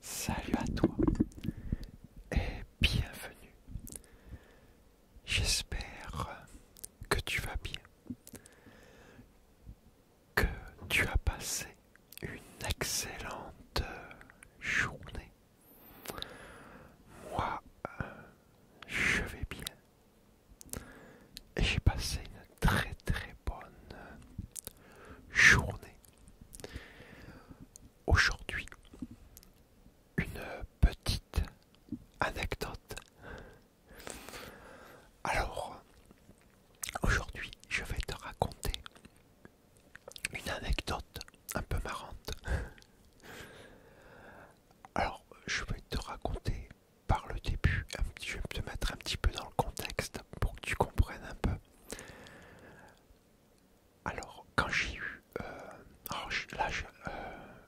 salut à toi et bienvenue. J'espère que tu vas bien, que tu as passé une excellente journée. Moi, euh, je vais bien, et j'ai passé une très très bonne journée. Aujourd'hui, une petite anecdote. Alors, aujourd'hui, je vais te raconter une anecdote un peu marrante. Alors, je vais te raconter par le début. Je vais te mettre un petit peu dans le contexte pour que tu comprennes un peu. Alors, quand j'ai eu. Euh, là, euh,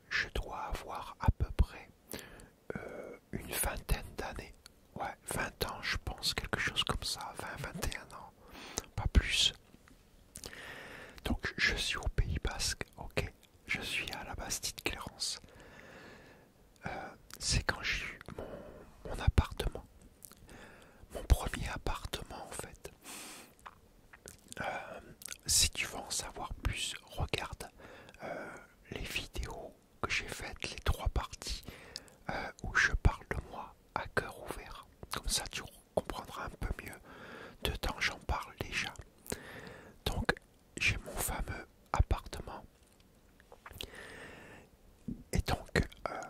je, dois avoir à peu près euh, une vingtaine d'années. Ouais, 20 ans, je pense, quelque chose comme ça. 20, 21 ans, pas plus. Donc, je suis au Pays Basque, ok Je suis à la Bastide Clérance. Euh, c'est quand j'ai eu mon, appartement, mon premier appartement en fait. Euh, si tu veux en savoir plus, regarde euh, les vidéos que j'ai faites, les trois parties où je parle de moi à cœur ouvert. Comme ça, tu comprendras un peu mieux. de temps j'en parle déjà. Donc, j'ai mon fameux appartement. Et donc, euh,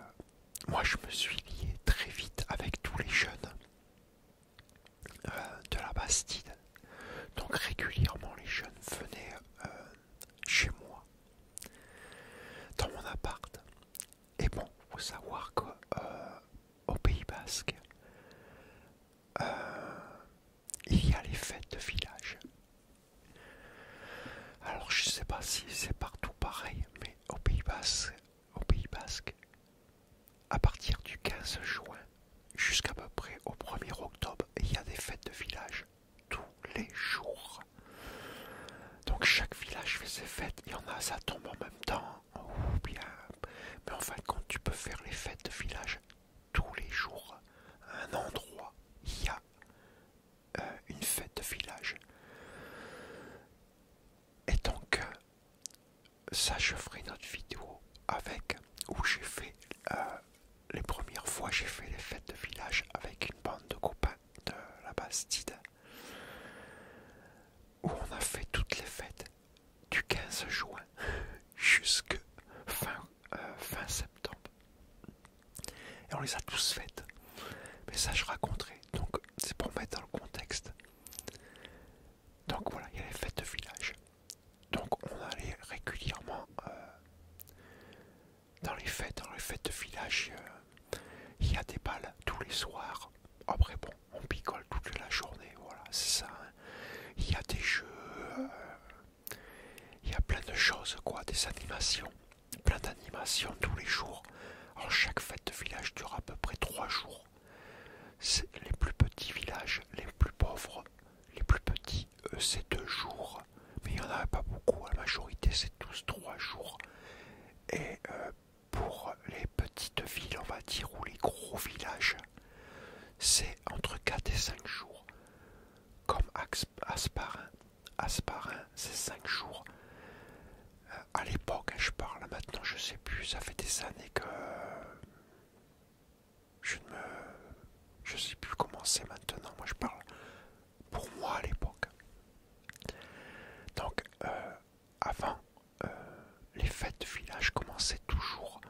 moi je me suis lié très vite avec tous les jeunes euh, de la Bastide. Donc régulièrement les jeunes venaient euh, chez moi, dans mon appart. Et bon, faut savoir qu'au au Pays Basque, il y a les fêtes de village. Alors je sais pas si c'est partout pareil, mais au Pays Basque, au Pays Basque, à partir du 15 juin jusqu'à peu près au 1er octobre, il y a des fêtes de village tous les jours. Donc chaque village fait ses fêtes, il y en a, ça tombe en même temps, ou oh, bien, mais en fin de compte, tu peux faire les fêtes de village tous les jours un endroit. Il y a euh, une fête de village. Et donc, euh, ça, je ferai notre vidéo avec où j'ai fait euh, les premières fois, j'ai fait les fêtes de village avec une bande de copains de la Bastide où on a fait toutes les fêtes du 15 juin jusque euh, fin, septembre. Et on les a tous faites. Mais ça, je raconterai. Donc, c'est pour mettre dans le contexte. Donc voilà, il y a les fêtes de village. Donc on allait régulièrement euh, dans les fêtes, dans les fêtes de village. Euh, il y a des balles tous les soirs. Après bon, on picole toute la journée, voilà, c'est ça. Hein. Il y a des jeux, il y a plein de choses, quoi, des animations, plein d'animations tous les jours. En chaque fête de village dure à peu près 3 jours. les plus petits villages, les plus pauvres, les plus petits, c'est 2 jours. Mais il n'y en a pas beaucoup, la majorité c'est tous trois jours. Et euh, pour les petites villes, on va dire, ou les gros villages, c'est entre 4 et 5 jours. Comme Asparin. Asparin, c'est 5 jours. Euh, à l'époque, hein, je parle, maintenant je sais plus, ça fait des années que je ne me... Je sais plus comment c'est maintenant, moi je parle pour moi à l'époque. Donc, euh, avant, euh, les fêtes de village commençaient toujours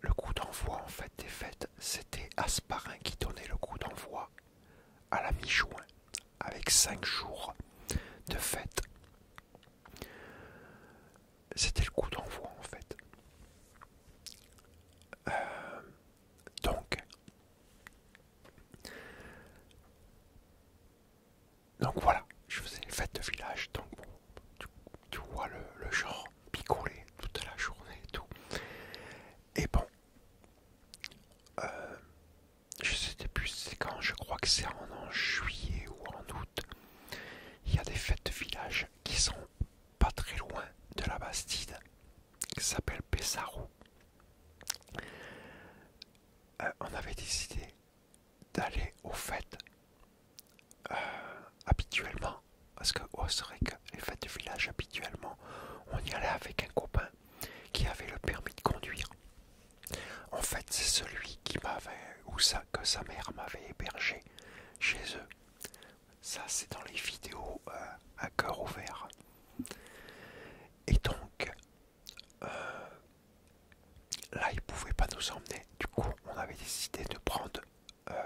le coup d'envoi en fait des fêtes, c'était Asparin qui donnait le coup d'envoi à la mi-juin, avec cinq jours de fête. C'était le coup d'envoi en fait. Euh, donc, donc voilà, je faisais les fêtes de village, tu vois le, genre picoler toute la journée et tout. Et bon, euh, je sais plus c'est quand, je crois que c'est en, juillet ou en août, il y a des fêtes de village qui sont pas très loin de la Bastide, qui s'appelle pesaro euh, on avait décidé d'aller aux fêtes euh, habituellement, parce que oh, c'est vrai que les fêtes de village, habituellement, on y allait avec un copain qui avait le permis de conduire. En fait, c'est celui qui m'avait, ou ça, que sa mère m'avait hébergé chez eux. Ça, c'est dans les vidéos euh, à cœur ouvert. Et donc, euh, là, il ne pouvaient pas nous emmener. Du coup, on avait décidé de prendre euh,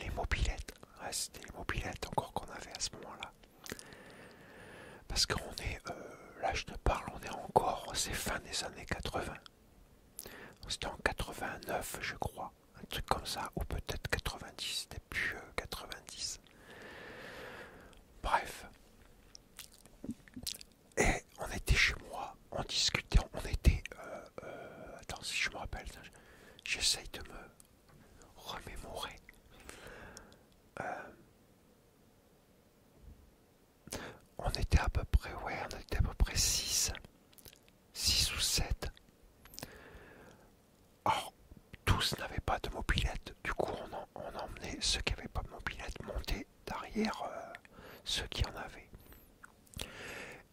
les mobilettes. C'était les mobilettes encore qu'on avait à ce moment-là. Parce qu'on est, euh, là je te parle, on est encore, c'est fin des années 80. C'était en 89 je crois, un truc comme ça, ou peut-être 90, c'était plus 90. Euh, Bref. Et on était chez moi on discutait, on était... Euh, euh, attends, si je me rappelle, j'essaye de me remémorer. Euh, on était à peu près, ouais, on était à peu près 6. 6 ou 7. Alors, tous n'avaient pas de mobilette. Du coup, on, emmenait ceux qui n'avaient pas de mobilette monter derrière ceux qui en avaient.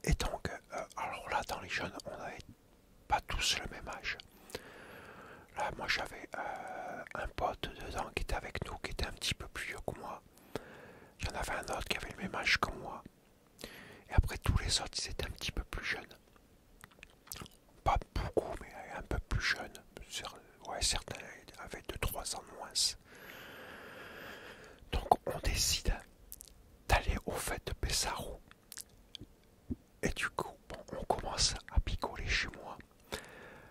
Et donc, euh, alors là, dans les jeunes, on n'avait pas tous le même âge. Là, moi, j'avais euh, un pote dedans qui était avec nous, qui était un petit peu plus vieux que moi. J'en avais un autre qui avait le même âge que moi. Et après, tous les autres, ils étaient un petit peu plus jeunes. Pas beaucoup, mais un peu plus jeunes. Ouais, certains avaient 2-3 ans de moins. Donc on décide d'aller au fait de Pesaro Et du coup, on commence à picoler chez moi.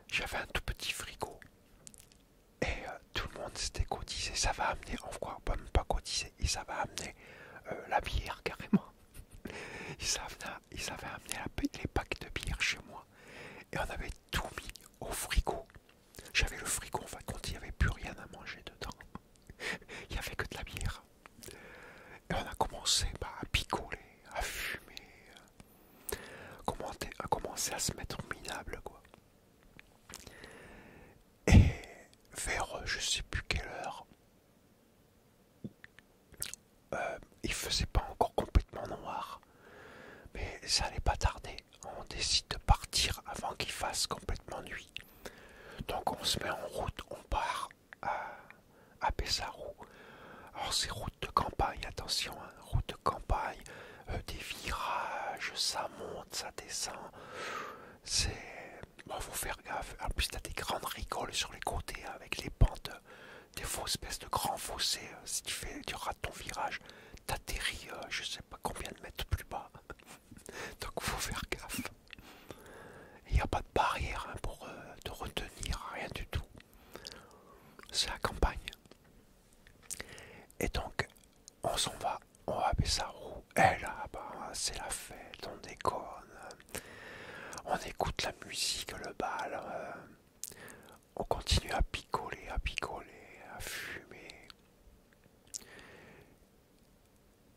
J'avais un tout petit frigo. Et euh, tout le monde s'était cotisé. Ça va amener, en quoi bah, même pas cotisé, et ça va amener euh, la bière carrément. Ils avaient, amené les packs de bière chez moi. Et on avait tout mis au frigo. J'avais le frigo, enfin, quand il n'y avait plus rien à manger dedans. il n'y avait que de la bière. Et on a commencé bah, à picoler, à fumer, à commencer à se mettre minable, quoi. Et vers je sais plus quelle heure, euh, il faisait pas encore complètement noir, mais ça allait pas tarder on décide de partir avant qu'il fasse complètement nuit. Donc on se met en route, on part à, à Alors c'est route de campagne, attention, hein, route de campagne, euh, des virages, ça monte, ça descend. C'est... Bon, faut faire gaffe. En plus, as des grandes rigoles sur les côtés hein, avec les pentes, euh, des fausses espèces de grands fossés. Euh, si tu fais du ton virage, t'atterris euh, je sais pas combien de mètres plus bas. Donc faut faire gaffe. Il n'y a pas de barrière hein, pour euh, te retenir, rien du tout. C'est la campagne. Et donc on s'en va, on va baisser roue. Et eh là, bah, c'est la fête, on déconne. On écoute la musique, le bal. Euh. on continue à picoler, à picoler, à fumer.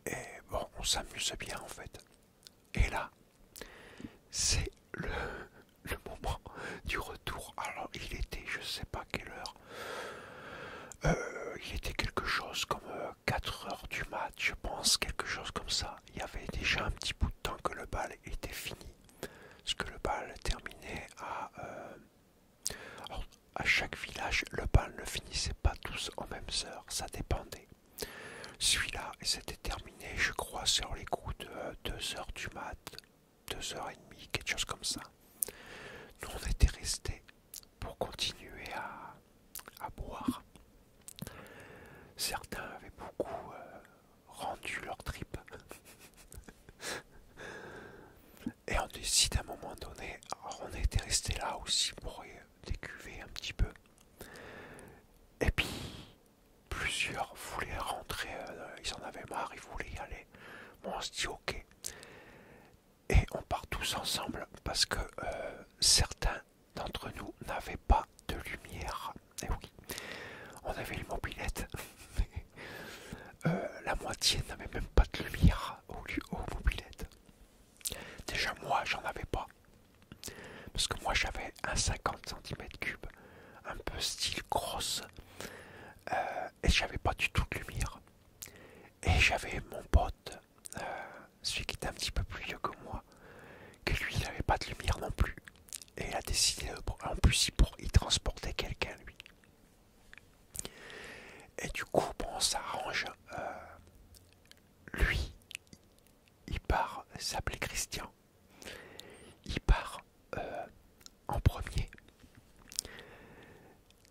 Et bon, on s'amuse bien en fait. Et là, c'est le, moment du retour. Alors, il était, je sais pas quelle heure, euh, il était quelque chose comme 4 euh, heures du match je pense, quelque chose comme ça. Il y avait déjà un petit bout de temps que le bal était fini. Parce que le bal terminait à. Euh, a à chaque village, le bal ne finissait pas tous aux mêmes heures, ça dépendait. Celui-là, c'était terminé, je crois, sur les coups de 2h du mat, 2h30, quelque chose comme ça. Nous, on était restés pour continuer à, boire. Certains avaient beaucoup euh, rendu leur trip. Et on décide à un moment donné, on était resté là aussi pour euh, décuver un petit peu. Et puis plusieurs voulaient rentrer, euh, ils en avaient marre, ils voulaient y aller. Bon, on se dit ok. Et on part tous ensemble parce que euh, certains d'entre nous n'avaient pas de lumière. Et eh oui, on avait une mobilette. Euh, la moitié n'avait même pas de lumière au, au mobilette. Déjà moi j'en avais pas. Parce que moi j'avais un 50 cm3, un peu style grosse, euh, et j'avais pas du tout de lumière. Et j'avais mon pote, euh, celui qui était un petit peu plus vieux que moi, que lui il n'avait pas de lumière non plus. Et il a décidé, en plus si pour... y transporter quelqu'un lui. Et du coup, on s'arrange, euh, lui, il part, s'appelait Christian. Il part euh, en premier.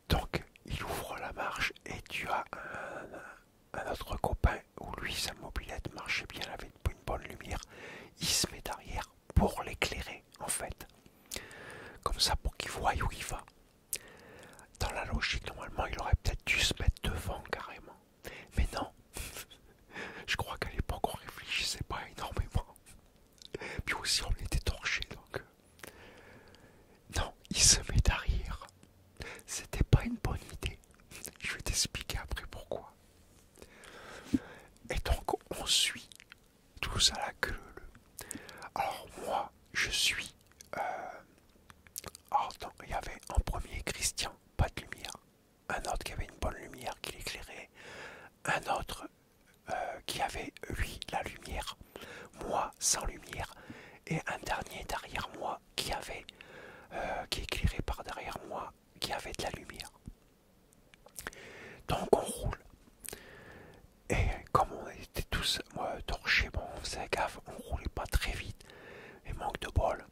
Donc, il ouvre la marche et tu as un, autre copain où lui, sa mobilette marchait bien, avec une bonne lumière. Il se met derrière pour l'éclairer en fait. Comme ça, pour qu'il voie où il va. Dans la logique, normalement, il aurait peut-être dû se mettre devant carrément. Mais non. Je crois qu'à l'époque, on réfléchissait pas énormément. Puis aussi, on était torché, donc... Euh, non, il se met derrière. C'était pas une bonne idée. Je vais t'expliquer après pourquoi. Et donc, on suit tous à la queue Alors moi, je suis... Euh, alors il y avait en premier Christian, pas de lumière. Un autre qui avait une bonne lumière qui l'éclairait. Un autre euh, qui avait, lui, la lumière. Moi, sans lumière. Et un dernier derrière moi qui avait... Euh, qui éclairait par derrière moi, qui avait de la lumière. Donc on roule. Et comme on était tous torchés, bon, on faisait gaffe, on roulait pas très vite. Et manque de bol.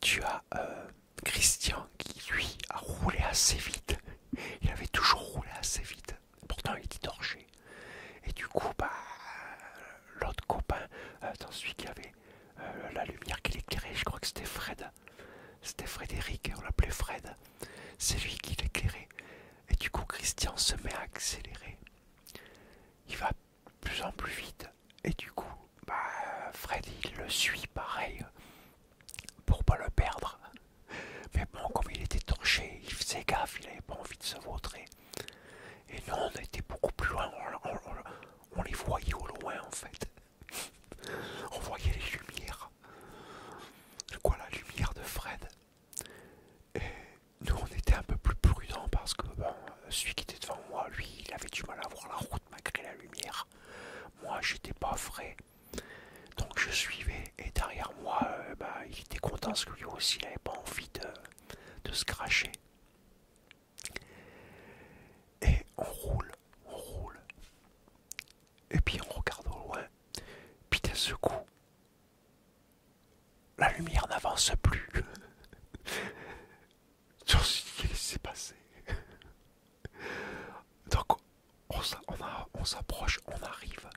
Tu as euh, Christian qui lui a roulé assez vite. Il avait toujours roulé assez vite. Pourtant il était torché. Et du coup, bah, l'autre copain, euh, celui qui avait euh, la lumière qui l'éclairait, je crois que c'était Fred. C'était Frédéric, on l'appelait Fred. C'est lui qui l'éclairait. Et du coup, Christian se met à accélérer. Il va de plus en plus vite. Et du coup, bah, Fred, le suit pareil pour pas le perdre. Mais bon, comme il était torché, il faisait gaffe, il avait pas envie de se vautrer. Et nous, on était beaucoup plus loin, on les voyait au loin en fait. On voyait les lumières. Quoi, la lumière de Fred. Et nous, on était un peu plus prudents parce que celui qui était devant moi, lui, il avait du mal à voir la route malgré la lumière. Moi, j'étais pas frais. Donc, je suivais. Et derrière moi, euh, bah, il était content parce que lui aussi, il n'avait pas envie de se cracher. Et on roule, on roule et puis on regarde au loin, puis d'un secou, la lumière n'avance plus. Je sais ce s'est passé. Donc on s'approche, on, arrive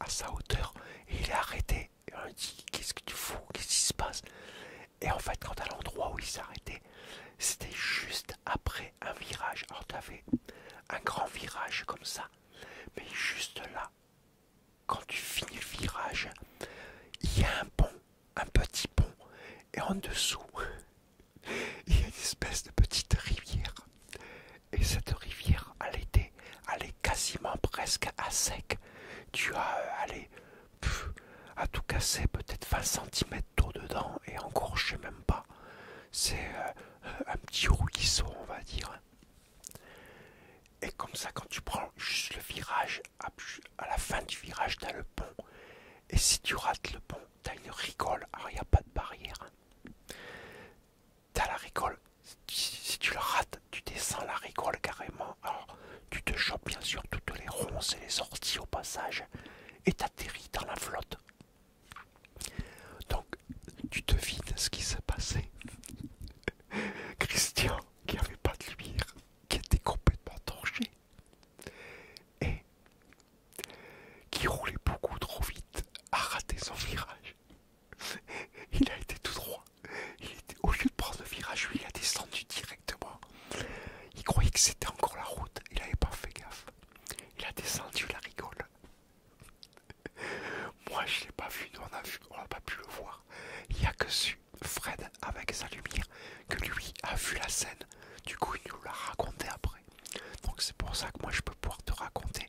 à sa hauteur et il est arrêté. Et on dit qu'est-ce que tu fous, qu'est-ce qui se passe Et en fait, quand à l'endroit où il s'arrêtait, c'était juste après un virage. Alors tu avais un grand virage comme ça, mais juste là, quand tu finis le virage, il y a un pont, un petit pont, et en dessous, il y a une espèce de petite rivière. Et cette rivière, à l'été, elle est quasiment presque à sec. Tu as, euh, allé à tout casser, peut-être 20 cm tout dedans, et encore, je sais même pas. C'est euh, un petit ruisseau, on va dire. Et comme ça, quand tu prends juste le virage, à la fin du virage, t'as le pont. Et si tu rates le pont, t'as une rigole. Alors, il n'y a pas de barrière. T'as la rigole. Si tu le rates, tu descends la rigole carrément. Alors, tu te chopes bien sûr toutes les ronces et les sorties au passage. Et t'atterris dans la flotte. Donc, tu devines ce qui s'est passé. Christian, qui n'avait pas de lumière, qui était complètement torché et qui roulait beaucoup trop vite, a raté son virage. Il a été tout droit. au lieu de prendre le virage, lui, il a descendu directement. Il croyait que c'était encore la route. Il n'avait pas fait gaffe. Il a descendu la rigole. Moi je l'ai pas vu, on a vu, on n'a pas pu le voir. Il n'y a que su Fred avec sa lumière que lui a vu la scène. Du coup il nous l'a raconté après. Donc c'est pour ça que moi je peux pouvoir te raconter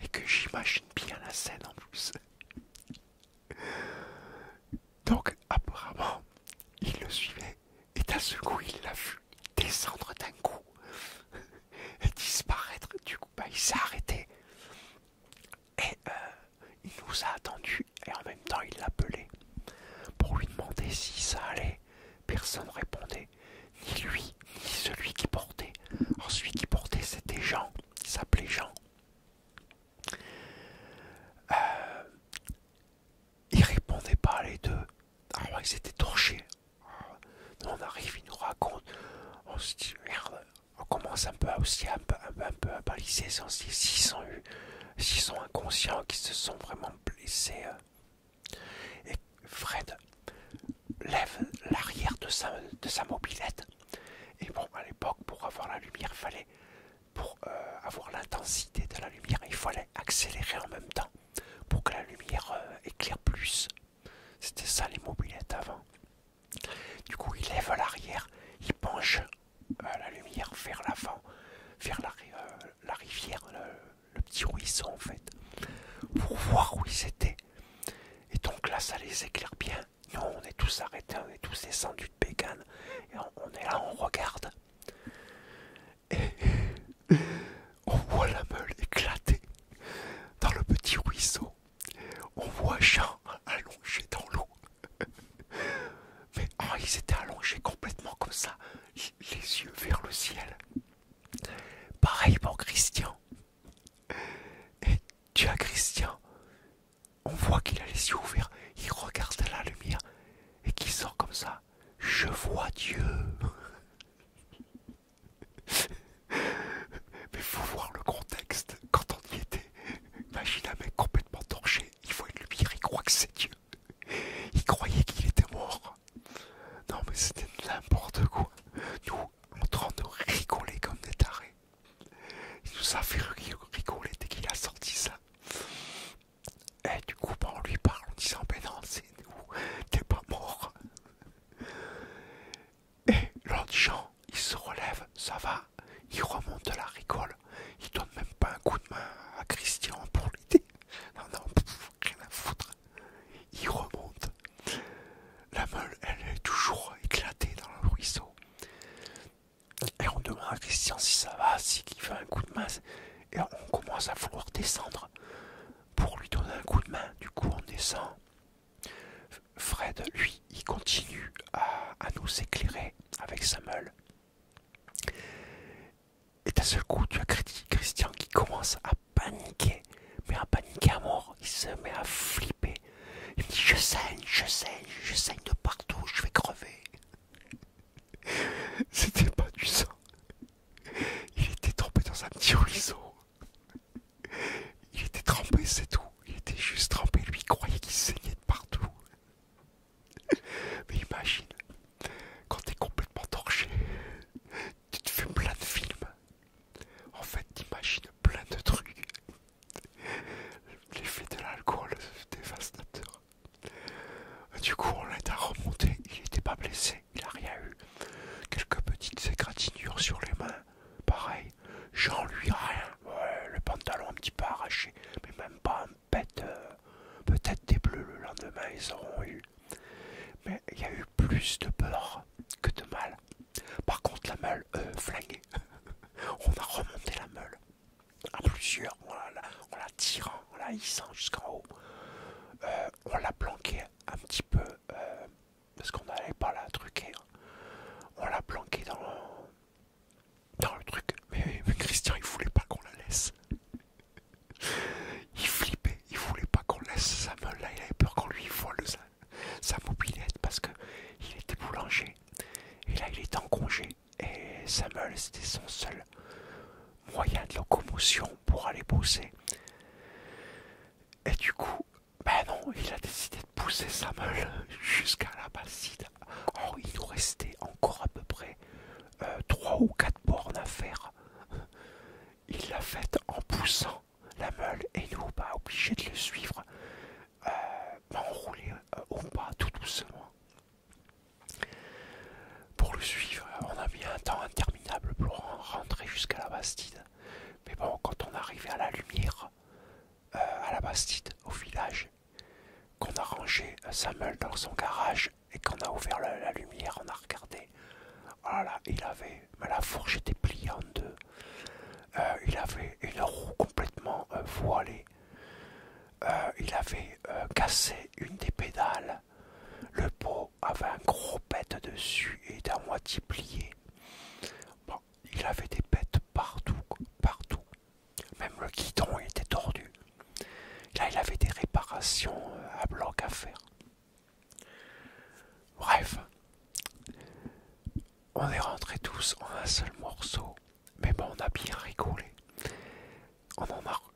et que j'imagine bien la scène en plus. Donc apparemment il le suivait et à ce coup il l'a vu descendre d'un coup disparaître. Du coup, bah, il s'est arrêté. Et euh, il nous a attendu et en même temps il l'appelait pour lui demander si ça allait. Personne ne répondait, ni lui, ni celui qui portait. celui qui portait c'était Jean, il s'appelait Jean. Euh, il répondait pas les deux. Ah ils étaient torchés. Ah on arrive, ils nous racontent. On commence un peu à, aussi un peu, à baliser. On se dit, s'ils sont, inconscients, qu'ils se sont vraiment blessés. Euh. Et Fred lève l'arrière de sa, mobilette. Et bon, à l'époque, pour avoir la lumière, fallait, pour euh, avoir l'intensité de la lumière, il fallait accélérer en même temps pour que la lumière euh, éclaire plus. C'était ça les mobilettes avant. Du coup, il lève l'arrière, il penche euh, la lumière vers l'avant, vers la, euh, rivière, le, petit ruisseau en fait, pour voir où ils étaient. Et donc là, ça les éclaire bien. Nous, on est tous arrêtés, on est tous descendus de bécane, et on est là, on regarde et on voit la meule éclater dans le petit ruisseau. On voit Jean allongé dans l'eau. Mais ah, il ils étaient allongés complètement comme ça, les yeux vers le ciel. Pareil pour Christian. Et tu as Christian. On voit qu'il a les yeux ouverts, il regarde la lumière et qu'il sort comme ça. Je vois Dieu. Mais faut voir le contexte. Quand on y était, imagine un mec complètement torché. Il voit une lumière, il croit que c'est Dieu. Il croyait qu'il était mort. Non, mais c'était n'importe quoi. Nous, en train de rigoler comme des tarés. Il nous a fait rigoler dès qu'il a sorti ça. Et du coup, on lui parle en disant, ben non, c'est nous, t'es pas mort. Et l'autre Jean, il se relève, ça va, il remonte la rigole, il donne même pas un coup de main à Christian pour l'aider. Non, non, rien à foutre. Il remonte. La meule, elle est toujours éclatée dans le ruisseau. Et on demande à Christian si ça va, s'il fait un coup de main. Et on commence à vouloir descendre pour lui donner un coup de main. Du coup, on descend. Fred, lui, il continue à, nous éclairer avec sa meule. Et d'un seul coup, tu as Christian qui commence à paniquer, mais à paniquer à mort. Il se met à flipper. Il me dit Je saigne, je saigne, je saigne de partout, je vais crever. C'était pas du sang. Il était trempé dans un petit ruisseau. Il était trempé, c'est tout. Il était juste trempé. Lui, il croyait qu'il saignait de partout. Mais imagine, quand t'es complètement torché, tu te fais plein de films. En fait, t'imagines plein de trucs. L'effet de l'alcool dévastateur. Du coup, on l'a remonté. Il n'était pas blessé, il n'a rien eu. Quelques petites égratignures sur les mains, pareil. J'en lui rien. le pantalon un petit peu arraché, mais même pas un pet. Euh. Peut-être des bleus le lendemain, ils auront eu. Mais il y a eu plus de peur que de mal. Par contre, la meule, euh, flinguée. on a remonté la meule à plusieurs, on la, tirant, on la hissant jusqu'en haut. Euh, on l'a planqué un petit peu euh, parce qu'on n'allait pas la truquer. Hein. On l'a planqué dans le, truc. Mais, Christian, il voulait pas qu'on la laisse. il flippait, il voulait pas qu'on laisse sa meule là. Il avait peur qu'on lui vole sa, mobilette parce que il était boulanger. Et là, il est en congé. Et sa meule, c'était son seul moyen de locomotion pour aller pousser Et du coup, ben non, il a décidé de pousser sa meule jusqu'à la bassine. Oh, il nous restait encore à peu près 3 euh, ou 4 bornes à faire. Il l'a faite en poussant la meule et nous, pas bah, obligé de le suivre, euh, bah, euh au bas tout doucement. Pour le suivre, on a mis un temps interminable pour rentrer jusqu'à la Bastide. Mais bon, quand on arrivait à la lumière, euh, à la Bastide, au village, qu'on a rangé euh, Samuel dans son garage et qu'on a ouvert la, lumière, on a regardé. Voilà, oh il avait, la fourche était pliée en euh, deux. il avait une roue complètement voilée. il avait cassé une des pédales. Le pot avait un gros pète dessus et était moitié plié. il avait des bêtes partout, partout. Même le guidon était tordu. Là, il avait des réparations euh, à bloc à faire. Bref, on est rentrés tous en un seul morceau. Mais bon, on a bien rigolé.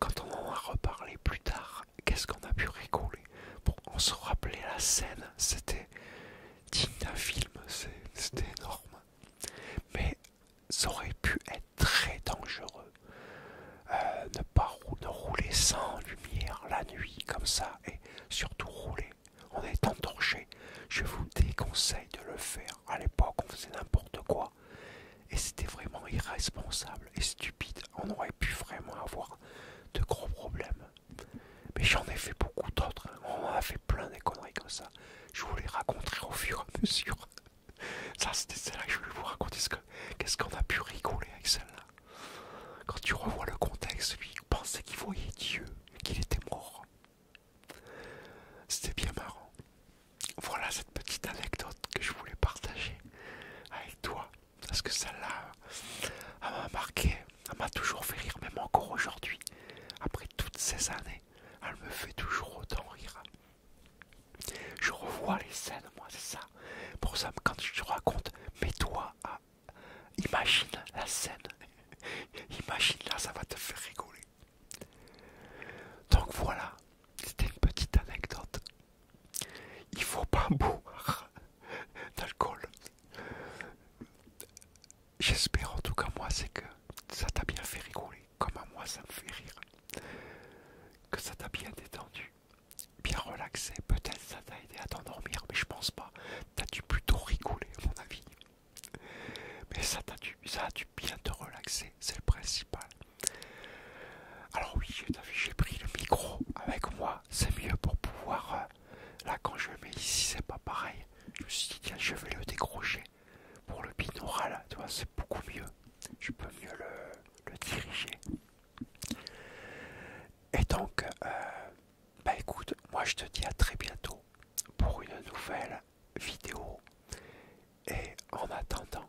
quand on en a reparlé plus tard, qu'est-ce qu'on a pu rigoler Bon, on se rappelait la scène, c'était digne d'un film, c'était énorme. Mais ça aurait pu être très dangereux. de euh, ne pas rouler sans lumière la nuit comme ça et surtout rouler en étant torché. Je vous déconseille de le faire. À l'époque, on faisait n'importe quoi et c'était vraiment irresponsable et stupide. On aurait pu vraiment avoir de gros problèmes. Mais j'en ai fait beaucoup d'autres. Hein. On a fait plein des conneries comme ça. Je vous les raconterai au fur et à mesure. Ça, c'était celle-là que je voulais vous raconter. Qu'est-ce qu'on a pu rigoler avec celle-là Quand tu revois le contexte, lui, vous pensait qu'il voyait Dieu, qu'il était mort. C'était bien marrant. Voilà cette petite anecdote que je voulais partager avec toi parce que celle-là, elle m'a marqué, elle m'a toujours fait rire, même encore aujourd'hui. Après toutes ces années, elle me fait toujours autant rire. Je revois les scènes, moi, c'est ça. Pour ça, quand je te raconte, mets-toi à. Imagine la scène. Imagine là, ça va te faire rigoler. Donc voilà, c'était une petite anecdote. Il faut pas boire d'alcool. J'espère en tout cas moi c'est que ça t'a bien fait rigoler, comme à moi ça me fait rire. Que ça t'a bien détendu, bien relaxé, peut-être ça t'a aidé à t'endormir, mais je pense pas. T'as dû plutôt rigoler à mon avis. Mais ça t'a dû, ça a dû bien te relaxer, c'est le principal. Alors oui, j'ai pris le micro avec moi, c'est mieux pour pouvoir... Euh, là quand je mets ici c'est pas pareil. Je me suis dit tiens je vais le décrocher pour le binaural, tu vois c'est beaucoup mieux. Je peux mieux le, diriger. Et donc, euh, bah écoute, moi je te dis à très bientôt pour une nouvelle vidéo. Et en attendant,